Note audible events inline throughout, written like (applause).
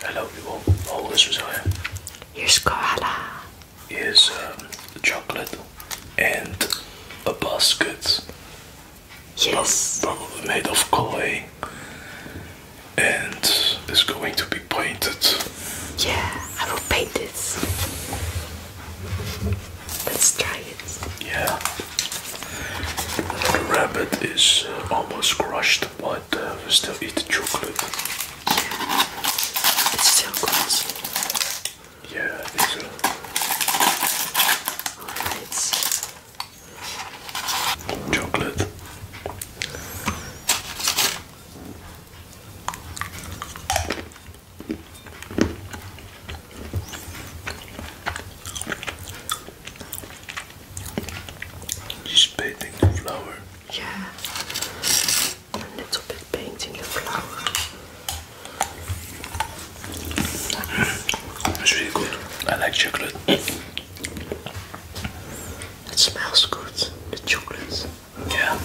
Hello people, oh this is I. Here's koala. Here's um, chocolate and a basket. Yes. Probably made of clay. And is going to be painted. Yeah, I will paint it. Let's try it. Yeah. The rabbit is uh, almost crushed but uh, we still eat the chocolate. it's still good. Yeah, I think so. Chocolate. Just painting the flower. Yeah. A little bit the flower. It's mm. really good. I like chocolate. It smells good, the chocolate. Yeah.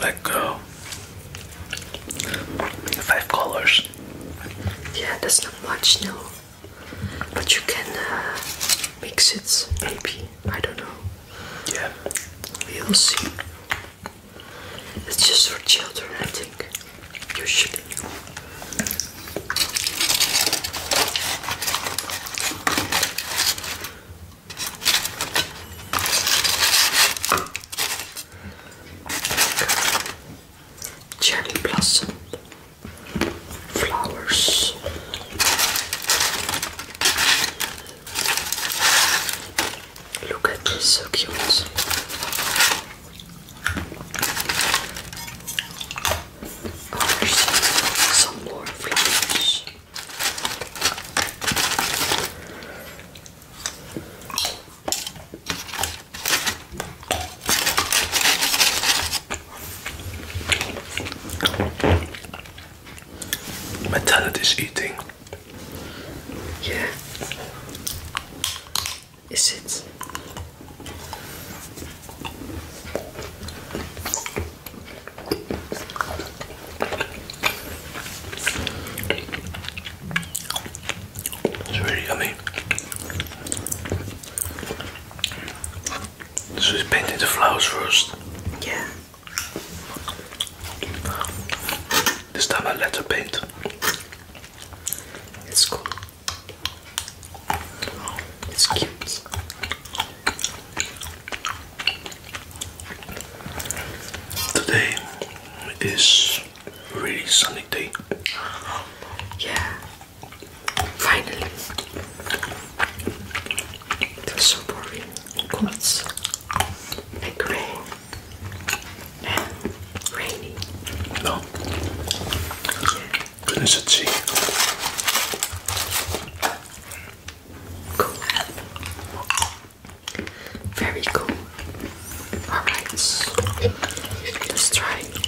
Let go. Five colors. Yeah, that's not much, no. But you can uh, mix it, maybe. I don't know. Yeah. We'll see. It's just for children, I think. Usually. Cherry blossom flowers. Look at this, so cute. Oh, some more flowers. My is eating. Yeah. Is it? It's very yummy. So he's painting the flowers first. Yeah. This time I let her paint. It's cool. It's cute. Today is really sunny day. Yeah, Finally, it was so boring. Cold and gray rainy. No. Yeah. Goodness Cool. Very cool. Alright, let's try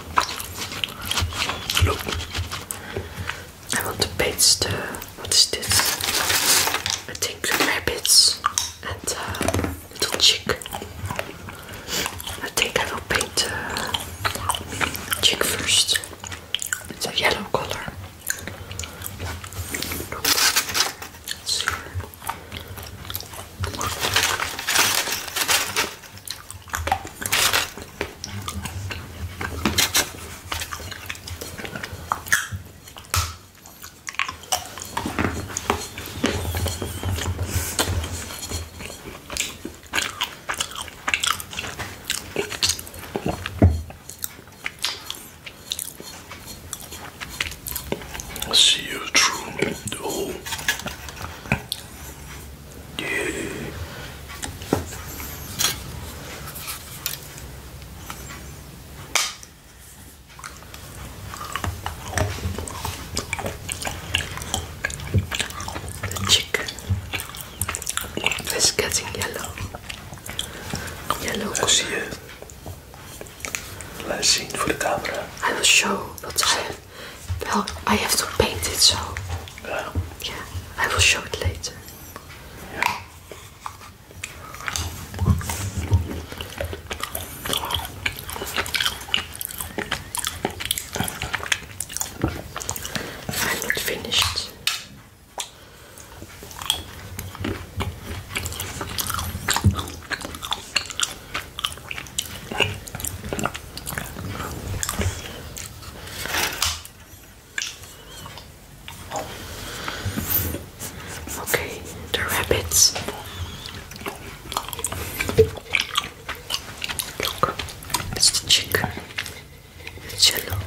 I want to paint. the, what is this? I think rabbits and uh, little chick. I think I will paint the uh, chick first. It's a yellow color. See you through the whole Dude. The chicken is getting yellow. Yellow. I zie je. Laat zien for the camera. I will show what I have well, I have to paint it, so yeah, I will show it later. Yeah. finished. Okay, the rabbits. Look, it's the chicken. It's yellow.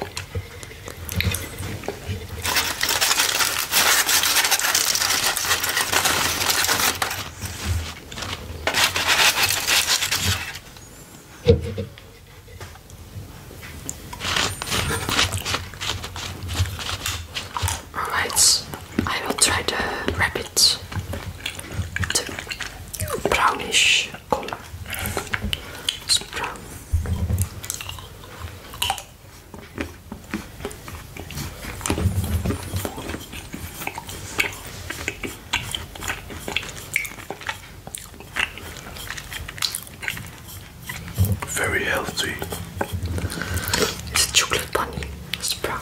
Alright, I will try the rabbit, the brownish color. It's brown. Very healthy. It's a chocolate bunny. It's brown.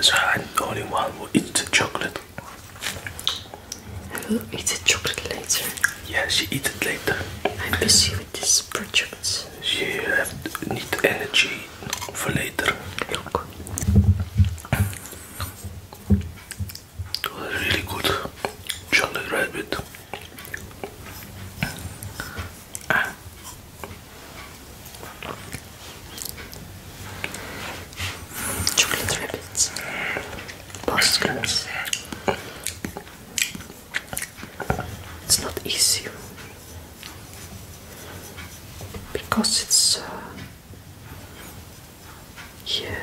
so I'm the only one who eats the chocolate. I will eat the chocolate later. Yeah, she eat it later. I'm busy with this project. She have need energy for later. Look. It was really good chocolate rabbit. Chocolate rabbits. Bastards. It's not easy because it's uh, here.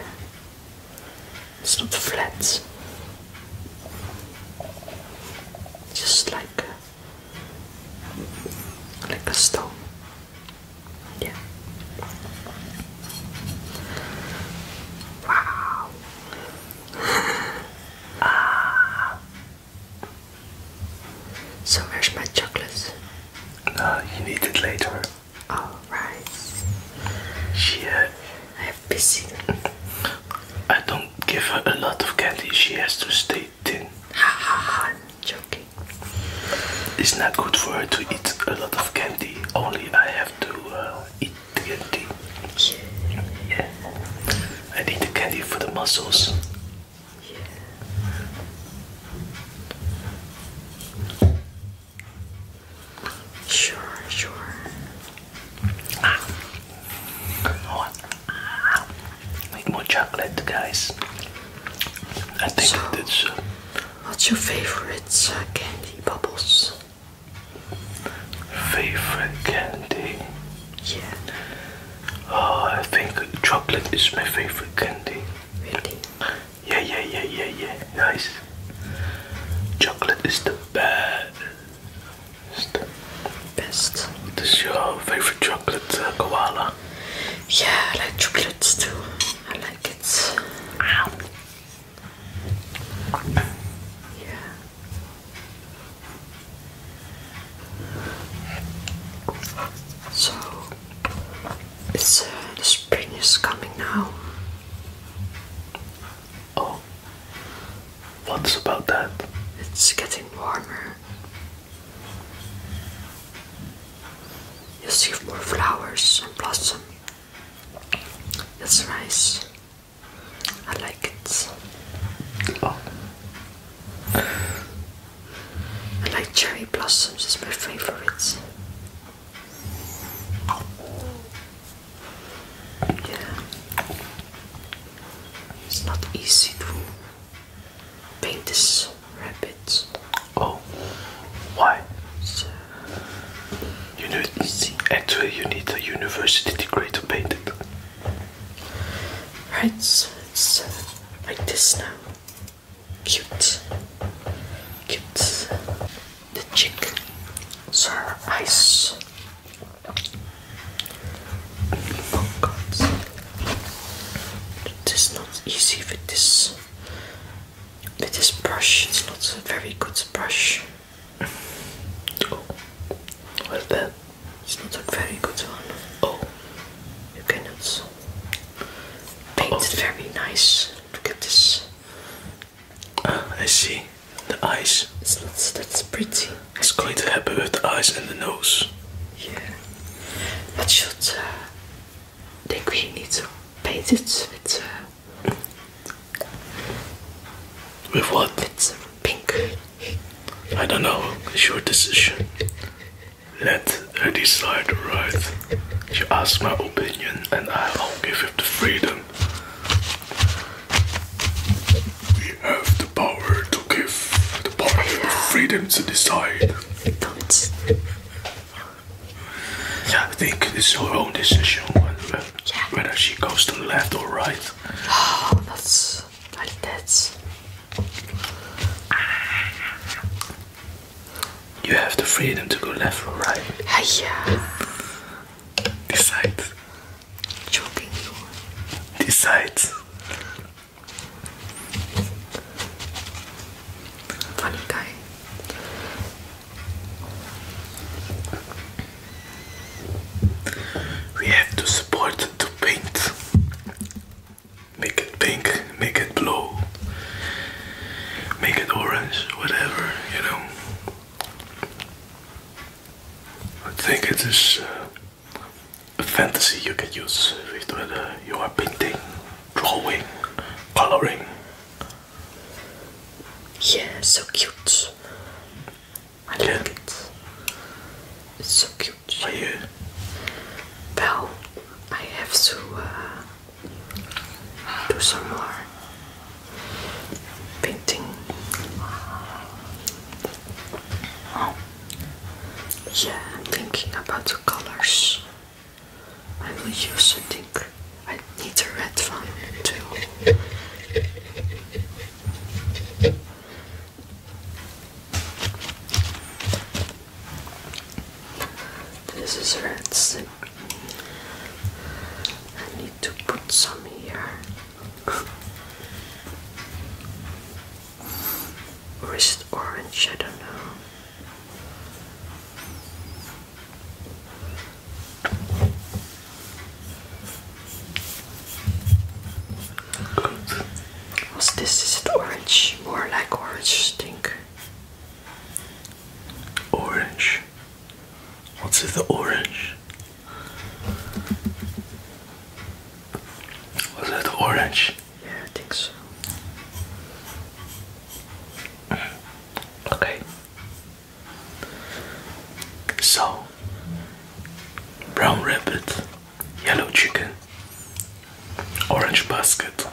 It's not flat. Just like a, like a stone. Yeah. Wow. (laughs) ah. So where's my chocolate? Uh, ah, you need it later. Alright. She. Uh, I'm busy. I don't give her a lot of candy. She has to stay thin. Ha ha ha! joking. It's not good for her to eat a lot of candy. Only I have to uh, eat candy. Yeah. yeah. I need the candy for the muscles. Yeah. Sure, sure. Ah. Oh. more chocolate, guys. I think that's. Uh, what's your favorite uh, candy, Bubbles? Favorite candy? Yeah. Oh, I think chocolate is my favorite candy. Really? Yeah, yeah, yeah, yeah, yeah. Nice. Chocolate is the best. Best. This is your favorite chocolate, uh, koala. Yeah, I like chocolates too. I like it. Yeah. So it's uh, the spring is coming now. Oh, what's about that? It's getting warmer. you see more flowers and blossom. That's nice. I like it. Oh. I like cherry blossoms, it's my favorites. Yeah. It's not easy to paint this rabbit. Oh, why? you need Actually, you need a university degree to paint it. Right, so like this now. Cute. Cute. The chick. So ice. Oh god. It is not easy with this with this brush. It's not a very good brush. Oh. Well, that it's not a very good one. Oh, you cannot. Painted very nice. Look at this. Ah, I see. The eyes. It's that's pretty. It's to happy with the eyes and the nose. Yeah. But should uh, I think we need to paint it with uh, with what? With pink. I don't know. It's your decision. Let her decide right. You ask my opinion and I'll give you the freedom. We have the power to give the party the freedom to decide. Don't. Yeah, I think it's her own decision whether, yeah. whether she goes to left or right. Oh, (gasps) that's like that. You have the freedom to go left or right. Hiya. Besides. Choking you. Decide. Funny guy. We have to support to paint. Make it pink, make it blue, make it orange, whatever, you know. I think it is a fantasy you can use with whether you are painting, drawing, coloring. Yeah, so cute. I love it. It's so cute. Are you? Uh, well, I have to uh, do some more painting. Oh. yeah, I'm thinking about the colors. I will use, I think, I need a red one too. This is red I need to put some here. or is it orange? I don't know. What's this? Is it orange? More like orange stink. Orange. What's in the orange? Was it orange? Yeah, I think so. Okay. So, brown rabbit, yellow chicken, Orange basket.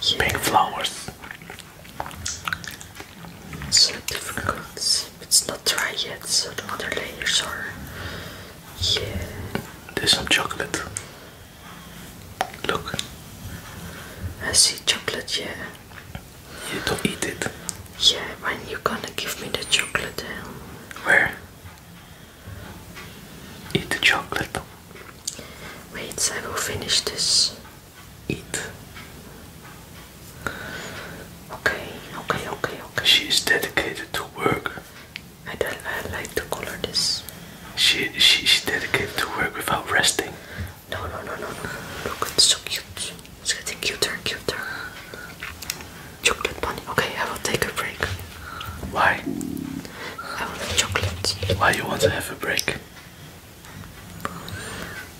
Yeah. Pink flowers. It's not dry yet, so the other layers are. Yeah. There's some chocolate. Look. I see chocolate, yeah. You don't eat it. Yeah, when you gonna give me the chocolate? Where? Eat the chocolate. Wait, I will finish this. Eat. Okay, okay, okay, okay. She is dedicated to work. I, don't, I like to color this. She, she, she's dedicated to work without resting. No, no, no, no, no. Look, it's so cute. It's getting cuter and cuter. Chocolate bunny. Okay, I will take a break. Why? I want a Why you want to have a break?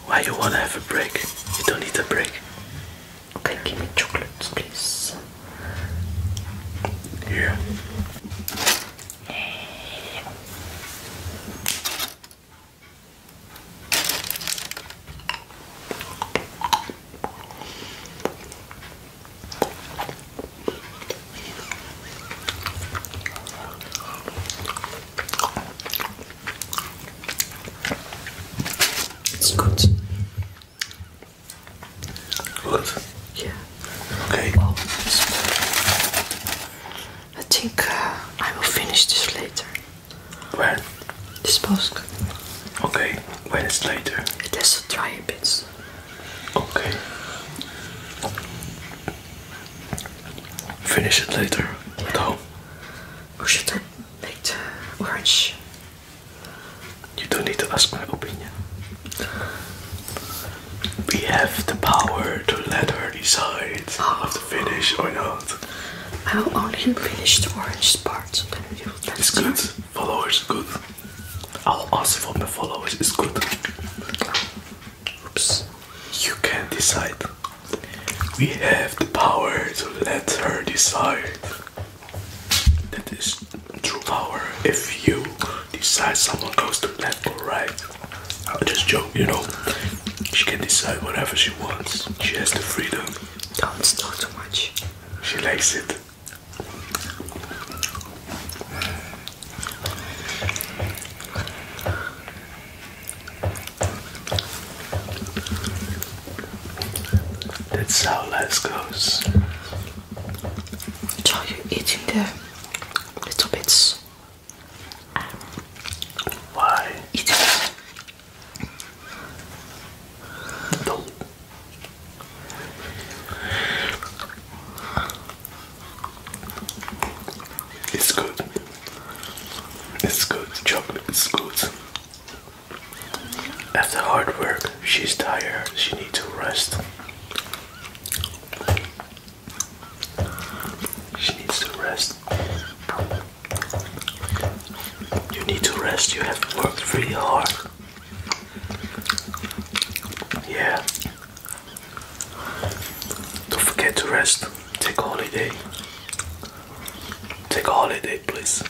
Why you want to have a break? You don't need a break. Okay, give me chocolate, please. Here. It's good. Good? Yeah. Okay. I think uh, I will finish this later. When? This post. Okay, when it's later. It has to dry a bit. Okay. Finish it later at should I make the orange? You don't need to ask my opinion. We have the power to let her decide oh. of the finish or not. I will only finish the orange part. It's good followers good. I'll ask for my followers is good. Oops. You can not decide. We have the power to let her decide. That is true power. If you decide someone goes to bed or right. I'll just joke, you know. She can decide whatever she wants. She has the freedom. Don't snore too much. She likes it. That's how life goes. Try you eating the little bits. Why? No. It's good. It's good. Chocolate It's good. After hard work, she's tired. She needs to rest. She needs to rest. You need to rest. You have worked really hard. Yeah. Don't forget to rest. Take a holiday. Take a holiday, please.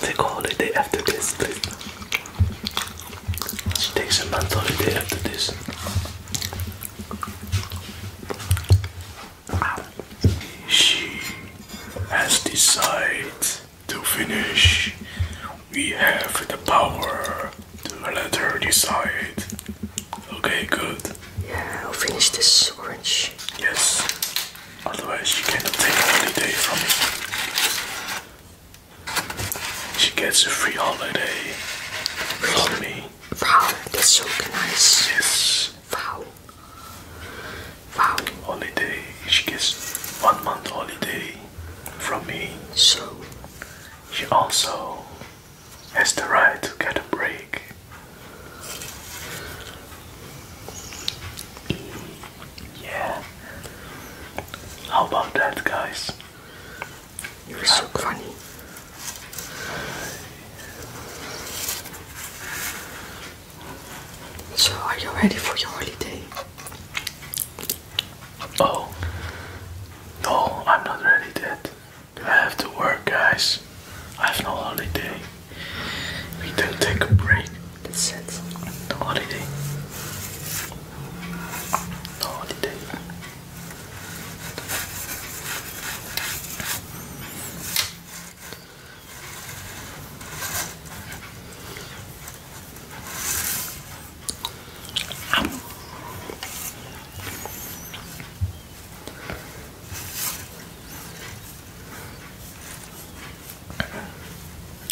Take a holiday after this, please. Take some month holiday after this. She has decided to finish. We have the power to let her decide. Okay, good. Yeah, I'll finish this orange. Yes. Otherwise, she cannot take a holiday from me. She gets a free holiday from me. Wow, that's so nice. Wow. Holiday. She gets one month holiday from me. So she also has the right to get a break. Yeah. How about that, guys? You're so funny. So, are you ready for your holiday? Oh, no, I'm not ready yet. I have to work, guys. I have no holiday. We don't take a break. That's it. No holiday. No holiday.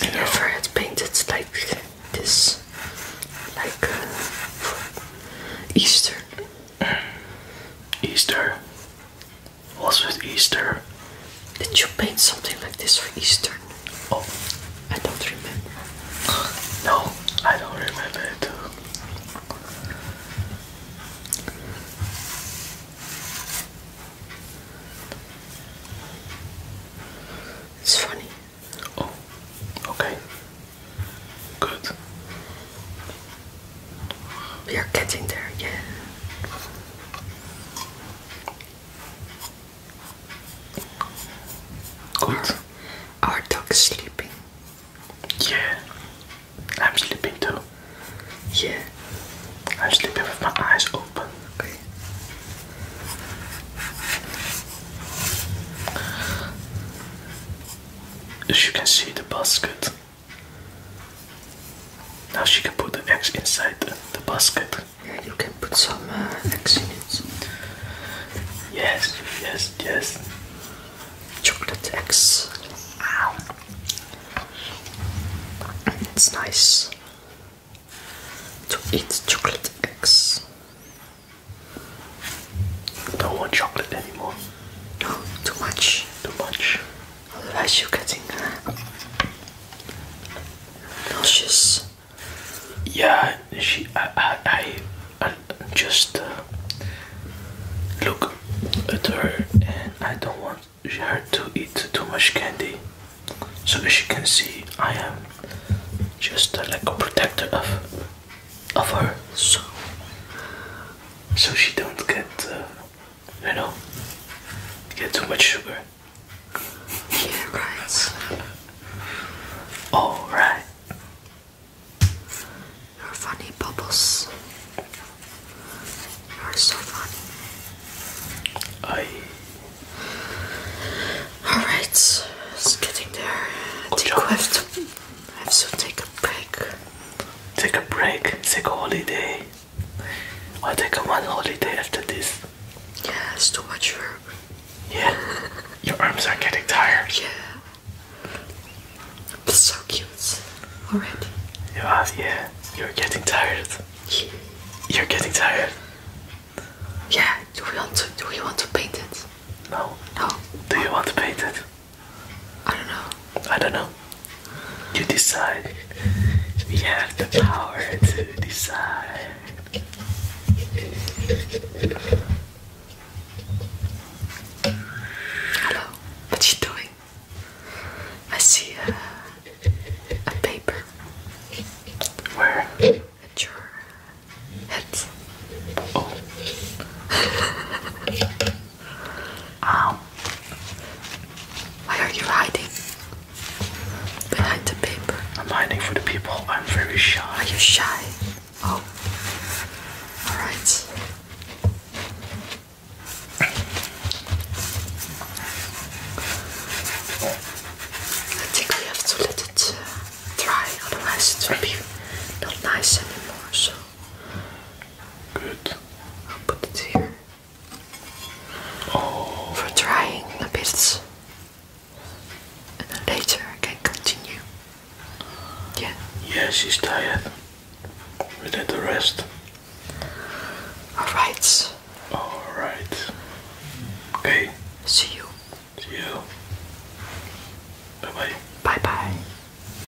And ever had painted like this, like uh, Easter. Easter. Was with Easter. Did you paint something like this for Easter? Oh, I don't remember. No, I don't remember it It's funny. Oh, okay. Good. We are getting there, yeah. Good. Our, dog is sleeping. Yeah. I'm sleeping too. Yeah. I'm sleeping with my eyes open. Okay. As you can see the basket now she can put the eggs inside the, basket. Yeah, you can put some uh, eggs in it. Yes, yes, yes. Chocolate eggs. It's nice to eat chocolate eggs. Don't want chocolate anymore. No, too much. Too much. Otherwise, you're getting there? Uh, nauseous. Yeah, she. I. I. I, just uh, look at her, and I don't want her to eat too much candy. So as you can see, I am just uh, like a protector of of her, so so she don't get. You know, get too much sugar. Yeah, right. All right. You're funny, Bubbles. You're so funny. I. Alright, it's getting there. Dequift. I have to take a break take a break, take a holiday, I'll take a one holiday after this. Yeah, it's too much work. Yeah, your arms are getting tired. Yeah, it's so cute Alright. You are, yeah. You're getting tired. Yeah. You're getting tired. Yeah. Do we want to? Do we want to paint it? No. No. Do you want to paint it? I don't know. I don't know. You decide. We have the power to decide. Hello. What's she doing? I see a, a paper. Where? At your head. Oh. (laughs) Oh, Why are you hiding? Behind the paper. I'm hiding for the people. I'm very shy. Are you shy? Oh. Alright. I think we have to let it uh, dry, otherwise it will be not nice anymore. So Good. I'll put it here. Oh. For trying a bit, And then later I can continue. Yeah. Yeah, she's tired. We need to rest. Alright. Alright. Okay. See you. See you. Bye bye. Bye bye.